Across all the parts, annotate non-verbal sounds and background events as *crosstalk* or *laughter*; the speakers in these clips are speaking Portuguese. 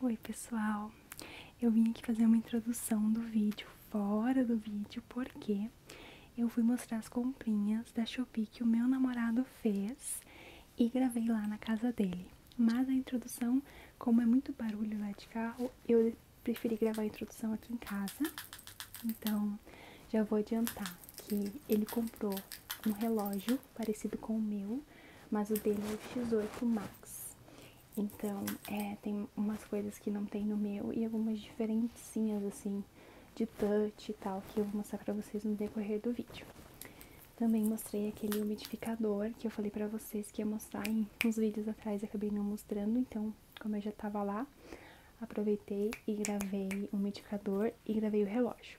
Oi, pessoal. Eu vim aqui fazer uma introdução do vídeo, fora do vídeo, porque eu fui mostrar as comprinhas da Shopee que o meu namorado fez e gravei lá na casa dele. Mas a introdução, como é muito barulho lá de carro, eu preferi gravar a introdução aqui em casa. Então, já vou adiantar que ele comprou um relógio parecido com o meu, mas o dele é o X8 Max. Então, é, tem umas coisas que não tem no meu e algumas diferencinhas, assim, de touch e tal, que eu vou mostrar pra vocês no decorrer do vídeo. Também mostrei aquele umidificador que eu falei pra vocês que ia mostrar em uns vídeos atrás e acabei não mostrando, então, como eu já tava lá, aproveitei e gravei o umidificador e gravei o relógio.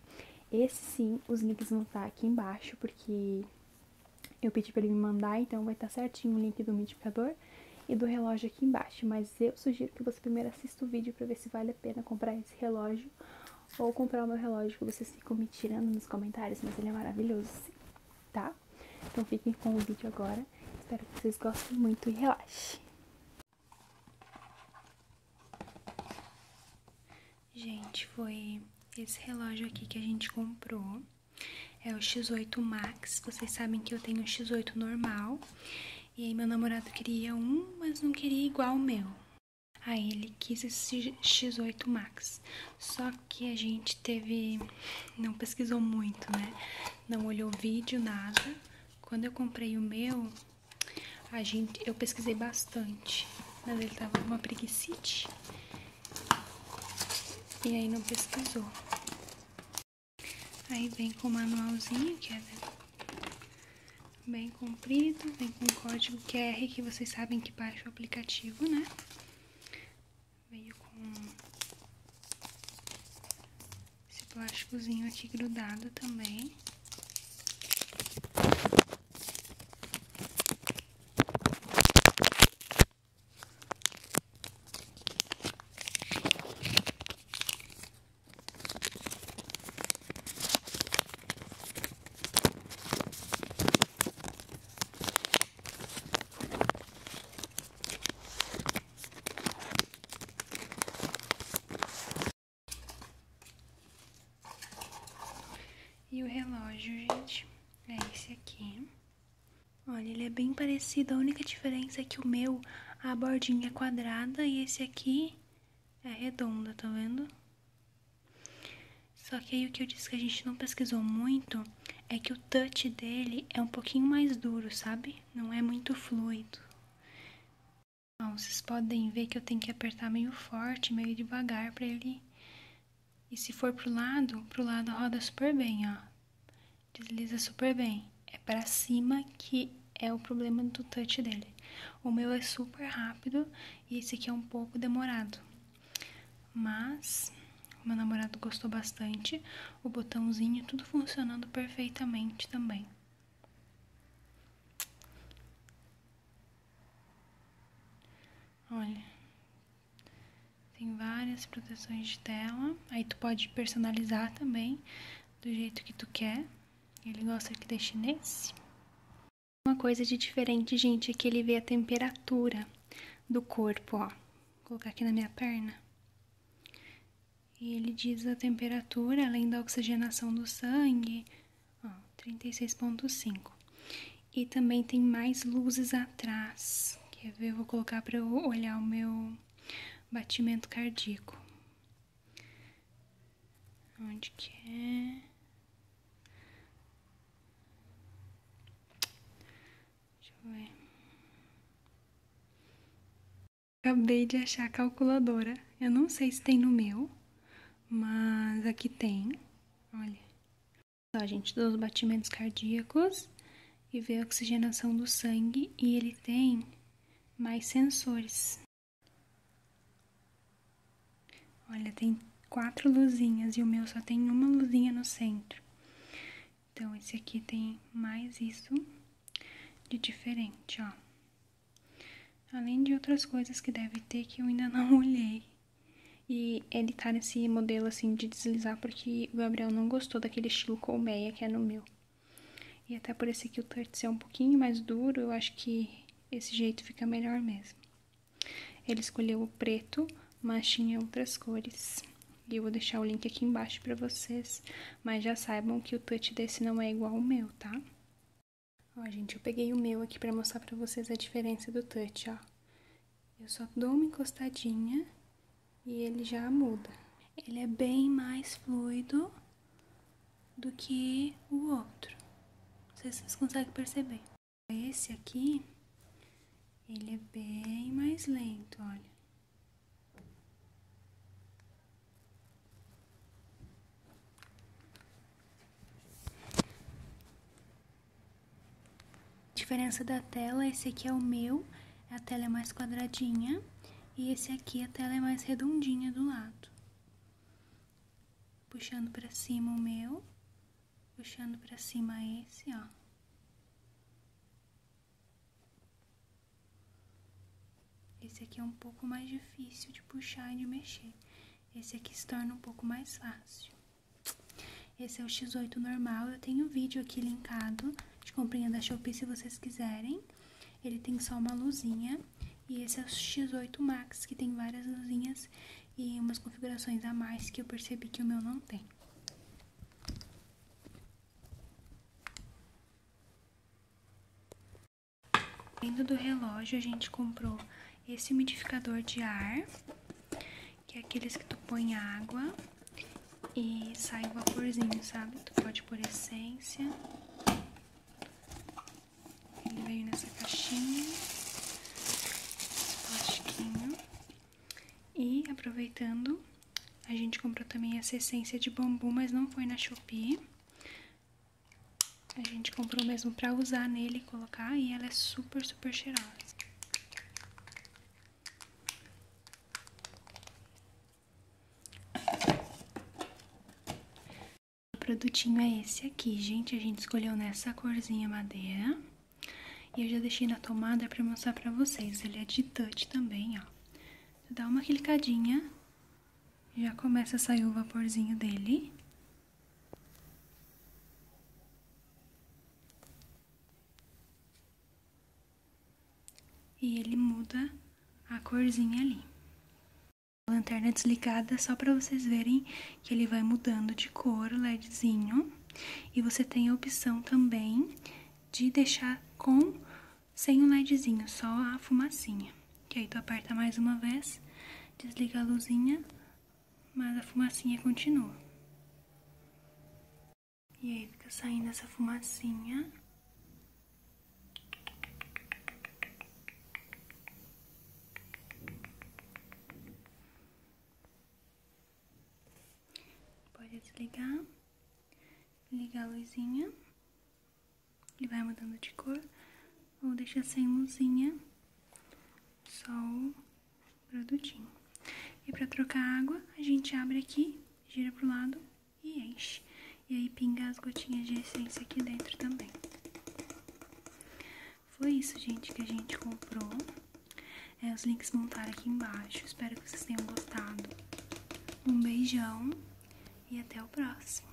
Esse sim, os links vão estar tá aqui embaixo, porque eu pedi para ele me mandar, então vai estar tá certinho o link do multiplicador e do relógio aqui embaixo. Mas eu sugiro que você primeiro assista o vídeo para ver se vale a pena comprar esse relógio ou comprar o meu relógio que vocês ficam me tirando nos comentários, mas ele é maravilhoso, sim, tá? Então fiquem com o vídeo agora. Espero que vocês gostem muito e relaxem. Gente, foi esse relógio aqui que a gente comprou. É o X8 Max. Vocês sabem que eu tenho um X8 normal. E aí meu namorado queria um, mas não queria igual ao meu. Aí ele quis esse X8 Max. Só que a gente teve. Não pesquisou muito, né? Não olhou vídeo, nada. Quando eu comprei o meu, a gente, eu pesquisei bastante, mas ele tava com uma preguicite. E aí não pesquisou. Aí vem com o manualzinho, que é bem comprido, vem com o código QR, que vocês sabem que baixa o aplicativo, né? Veio com esse plásticozinho aqui grudado também. E o relógio, gente, é esse aqui. Olha, ele é bem parecido, a única diferença é que o meu, a bordinha é quadrada e esse aqui é redonda, tá vendo? Só que aí o que eu disse que a gente não pesquisou muito é que o touch dele é um pouquinho mais duro, sabe? Não é muito fluido vocês podem ver que eu tenho que apertar meio forte, meio devagar para ele. E se for pro lado, pro lado roda super bem, ó. Desliza super bem. É para cima que é o problema do touch dele. O meu é super rápido e esse aqui é um pouco demorado. Mas meu namorado gostou bastante, o botãozinho tudo funcionando perfeitamente também. Olha, tem várias proteções de tela. Aí tu pode personalizar também do jeito que tu quer. Ele gosta que deixe nesse. Uma coisa de diferente, gente, é que ele vê a temperatura do corpo, ó. Vou colocar aqui na minha perna. E ele diz a temperatura, além da oxigenação do sangue, 36.5. E também tem mais luzes atrás. Quer ver? Eu vou colocar para eu olhar o meu batimento cardíaco. Onde é? Deixa eu ver. Acabei de achar a calculadora. Eu não sei se tem no meu, mas aqui tem. Olha. Só, gente, dos batimentos cardíacos e veio a oxigenação do sangue. E ele tem mais sensores. Olha, tem quatro luzinhas e o meu só tem uma luzinha no centro. Então, esse aqui tem mais isso de diferente, ó. Além de outras coisas que deve ter que eu ainda *laughs* não olhei. E é editar esse modelo assim de deslizar, porque o Gabriel não gostou daquele estilo colmeia que é no meu. E até por esse que o touch é um pouquinho mais duro, eu acho que esse jeito fica melhor mesmo. Ele escolheu o preto, mas tinha outras cores. E eu vou deixar o link aqui embaixo para vocês, mas já saibam que o touch desse não é igual ao meu tá? Ó, gente, eu peguei o meu aqui pra mostrar pra vocês a diferença do touch, ó. Eu só dou uma encostadinha e ele já muda. Ele é bem mais fluido do que o outro. Não sei se vocês conseguem perceber. Esse aqui, ele é bem mais lento, olha diferença da tela, esse aqui é o meu, a tela é mais quadradinha, e esse aqui a tela é mais redondinha do lado. Puxando para cima o meu, puxando para cima esse, ó. Esse aqui é um pouco mais difícil de puxar e de mexer. Esse aqui se torna um pouco mais fácil. Esse é o X8 normal. Eu tenho um vídeo aqui linkado de comprinha da Shopee se vocês quiserem. Ele tem só uma luzinha. E esse é o X8 Max, que tem várias luzinhas e umas configurações a mais que eu percebi que o meu não tem. Dentro do relógio a gente comprou esse umidificador de ar, que é aqueles que tu põe água e sai o vaporzinho, sabe? Tu pode por essência. Ele veio nessa caixinha, esse plastiquinho. E aproveitando, a gente comprou também essa essência de bambu, mas não foi na Shopee. A gente comprou mesmo pra usar nele e colocar, e ela é super, super cheirosa. O produtinho é esse aqui, gente. A gente escolheu nessa corzinha madeira. E eu já deixei na tomada pra mostrar pra vocês. Ele é de touch também, ó dá uma clicadinha, já começa a sair o vaporzinho dele. E ele muda a corzinha ali. lanterna é desligada só para vocês verem que ele vai mudando de cor o ledzinho. E você tem a opção também de deixar com sem um ledzinho, só a fumacinha. Que aí tu aperta mais uma vez, desliga a luzinha, mas a fumacinha continua. E aí fica saindo essa fumacinha. Pode desligar, ligar a luzinha. Ele vai mudando de cor, Vou deixar sem luzinha, só o produtinho. E para trocar água, a gente abre aqui, gira pro lado e enche. E aí pinga as gotinhas de essência aqui dentro também. Foi isso, gente, que a gente comprou. É, os links vão aqui embaixo. Espero que vocês tenham gostado. Um beijão e até o próximo.